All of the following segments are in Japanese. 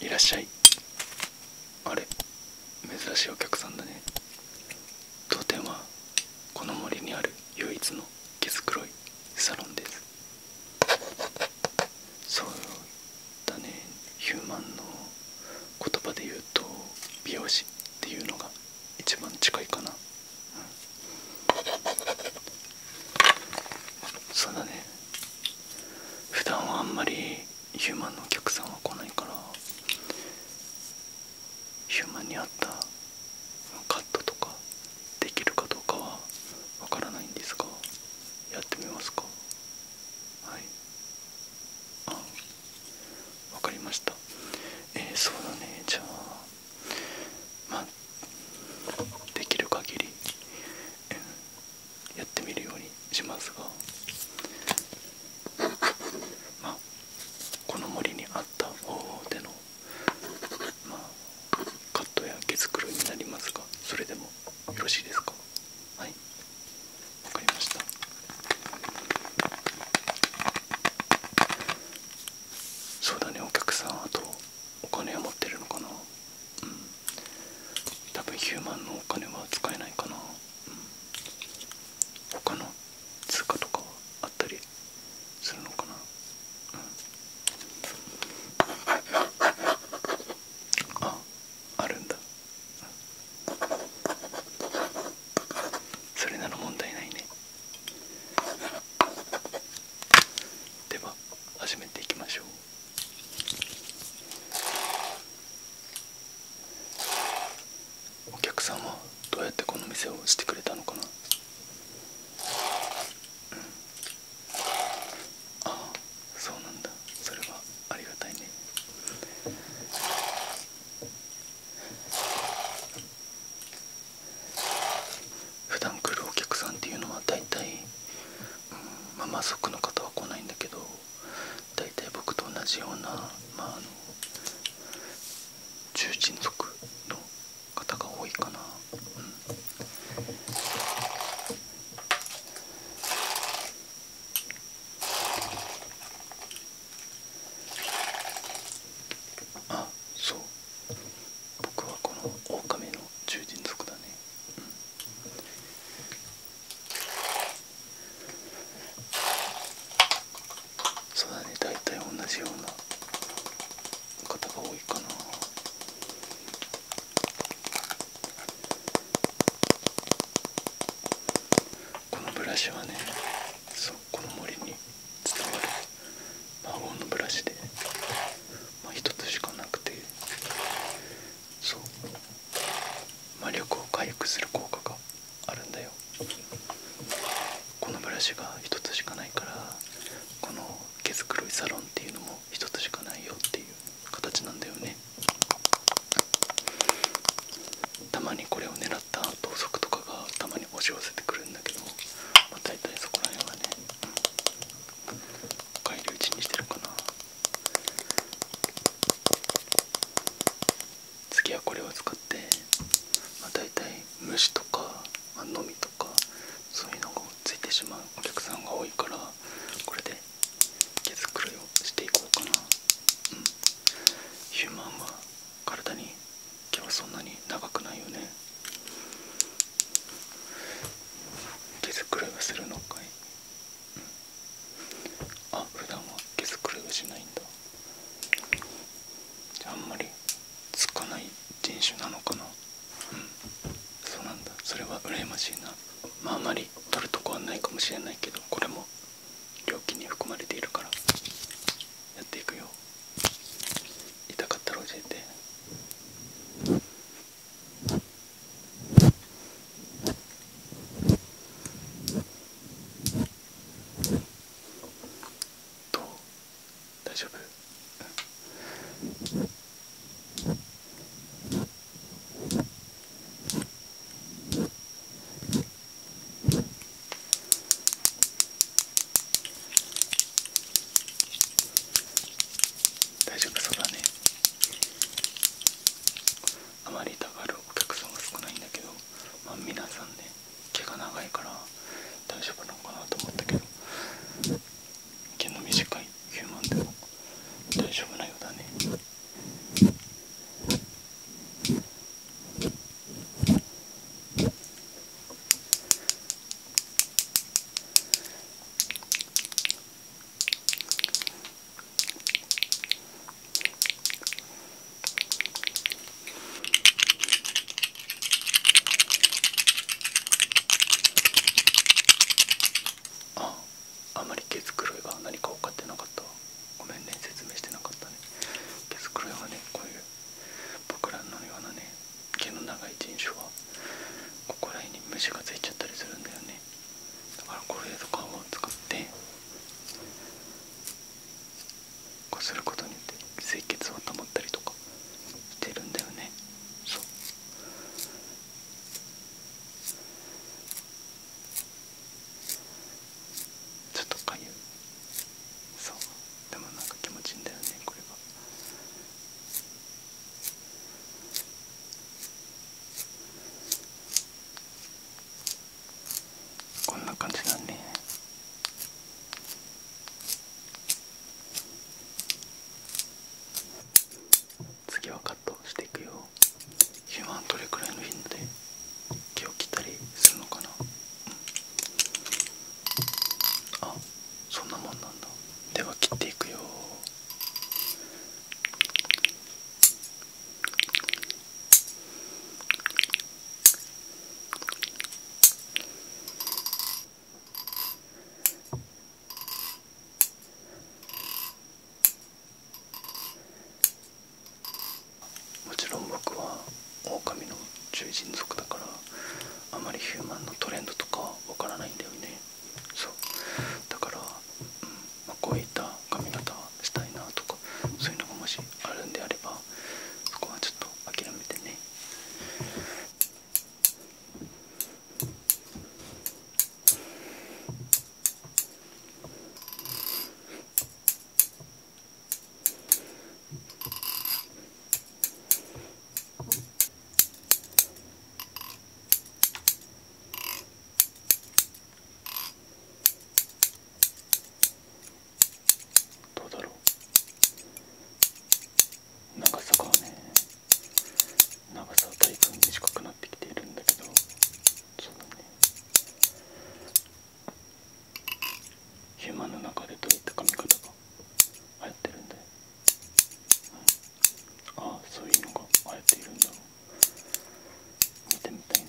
いらっしゃいあれ珍しいお客さんだね当店はこの森にある唯一の毛づくろいサロンですそうだねヒューマンの言葉で言うと美容師っていうのが一番近いかな、うん、そうだね普段はあんまりヒューマンのお客さんは来ないからヒューマンに合ったカットとかできるかどうかはわからないんですがやってみますかはいあわかりましたええ、そうだねじゃあまあできる限り、やってみるようにしますがまあこの森にあった方法でのまあ、カットや毛づくろいになりますがそれでもよろしいですかはいわかりましたそうだねお客さんあとお金は持ってるのかなうん多分ヒューマンのお金は使えないかなうん他の通貨とかはあったりするのかな、うん、ああるんだ、それなら問題ないねでは始めていきましょうお客さんはどうやってこの店をしてくれたのかなああ、そうなんだそれはありがたいね普段来るお客さんっていうのは大体、うん、まあマスの方は来ないんだけど大体僕と同じようなまああの重鎮族の方が多いかな、あそう僕はこのオオカミの獣人だね、そうだね大体同じような方が多いかなこのブラシはねそうこの森に伝わる魔法のブラシでまあ一つしかなくてそう魔力を回復する効果があるんだよこのブラシが一つしかないからこの毛づくろいサロンっていうのも一つしかないよっていう形なんだよねたまにこれを狙った盗賊とかがたまに押し寄せてくるんだけど、まあ、大体そこら辺はね返り討ちにしてるかな次はこれを使って、まあ、大体虫とか、まあ、飲みとかそういうのがついてしまうお客さんが多いからこれで毛づくろいをしていこうかなヒューマンは体に毛はそんなに長くないよね毛づくろいはするのかい、うん、あ普段は毛づくろいはしないんだあんまりつかない人種なのかなうんそうなんだそれは羨ましいなまああまり取るとこはないかもしれないけどこれも料金に含まれているからやっていくよ痛かったら教えてどう大丈夫大丈夫そうだねあまり痛がるお客さんは少ないんだけど、まあ、皆さんね毛が長いから大丈夫なのかなと思ったけど毛の短いヒューマンでも大丈夫なようだねああまり毛づくいが何か分かってなかったごめんね説明してなかったね毛づくいはねこういう僕らのようなね毛の長い人種はここら辺に虫がついちゃったりするんだよねだからこれとかを使ってこうすることによって清潔を保ったりとかてるんだよねそうちょっとかゆいそうでもなんか気持ちいいんだよねこれは。こんな感じだね次はカットしていくよヒューマンどれくらいの頻度で毛を切ったりするのかな、うん、あそんなもんなんだでは切っていくよもちろん僕は狼の獣人族だからあまりヒューマンのトレンドとかわからないんだよねそうだから、うんまこういった髪型したいなとかそういうのがもしあるんであればそこはちょっと諦めてねどうだろう長さがね長さは体感で短くなってきているんだけどそうだねヒュ暇の中でどういった髪型が流行ってるんだよ、ああそういうのが流行っているんだろう見てみたいな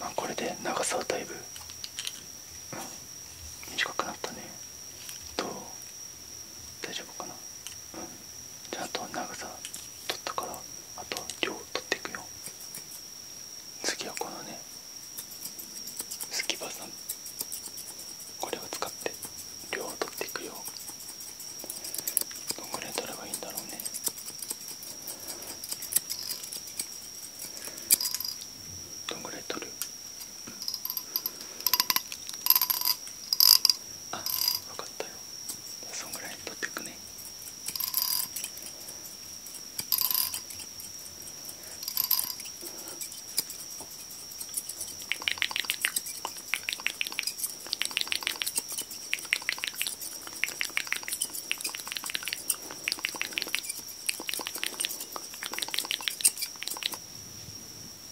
まあこれで長さはだいぶ、短くなったねと。大丈夫かなうんじゃああと長さ取ったからあと量取っていくよ次はこのねスキバさんこれを使って量を取っていくよどんぐらい取ればいいんだろうねどんぐらい取るあ分かったよそんぐらい取っていくね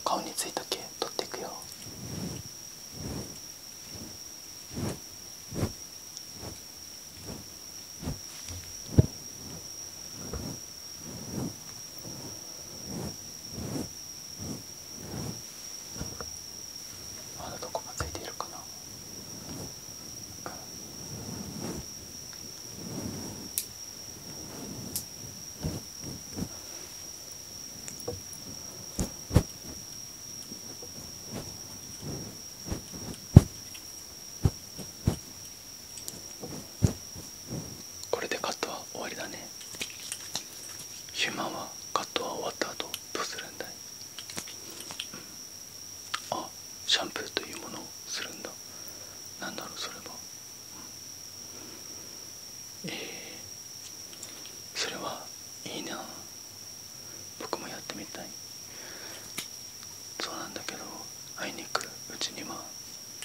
顔についた毛取っていくよ。まだどこがついているかな、うんこれでカットは終わりだねヒューマンはカットは終わった後どうするんだい、うん、あシャンプーというものをするんだなんだろうそれは、うん、えそれはいいな僕もやってみたいそうなんだけど会いにくうちには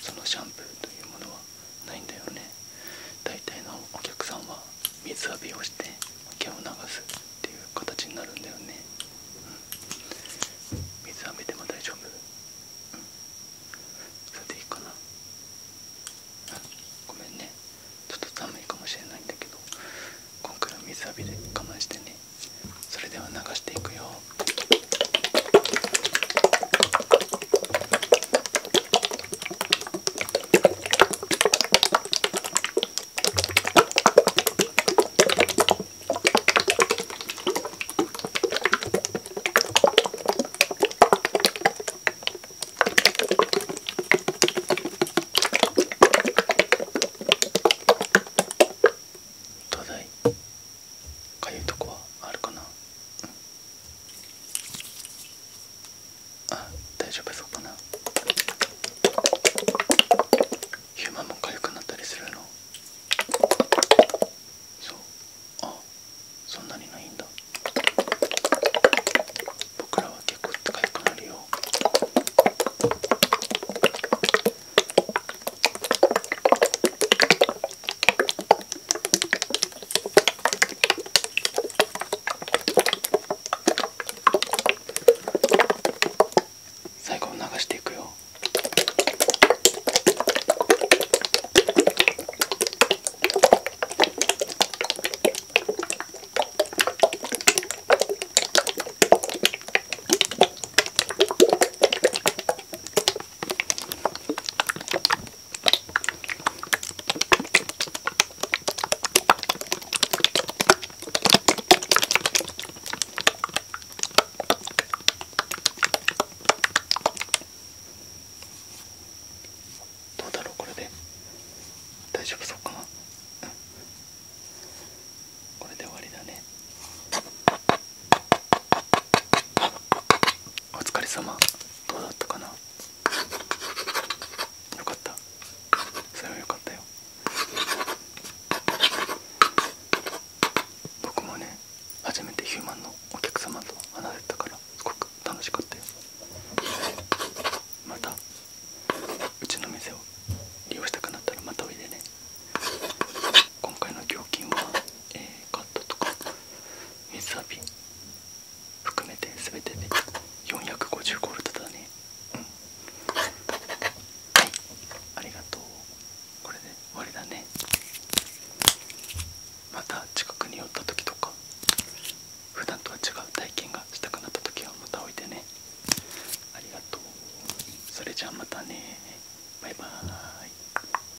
そのシャンプーというものはないんだよね大体のお客さんは水浴びをして毛を流すっていう形になるんだよね、うん、水浴びても大丈夫、それでいいかな、うん、ごめんねちょっと寒いかもしれないんだけど今回は水浴びで我慢してねそれでは流していくよどうだいかゆいとこはあるかな、あ大丈夫そうかなヒューマンも痒くなったりするのそうあそんなにないんだ僕らは結構痒くなるよ最後流していくよ。どうだろうこれで大丈夫そうかな、うん、これで終わりだねお疲れ様どうだったかなよかったそれはよかったよ僕もね初めてヒューマンのお客様と話せたからすごく楽しかったよまたうちの店を利用したくなったらまたおいでね今回の料金はえー、カットとか水浴び含めて全てで450ゴルドだねうんはいありがとうこれで終わりだねまた近くに寄った時とか普段とは違う体験がしたくなった時はまたおいでねありがとうそれじゃあまたねバイバーイ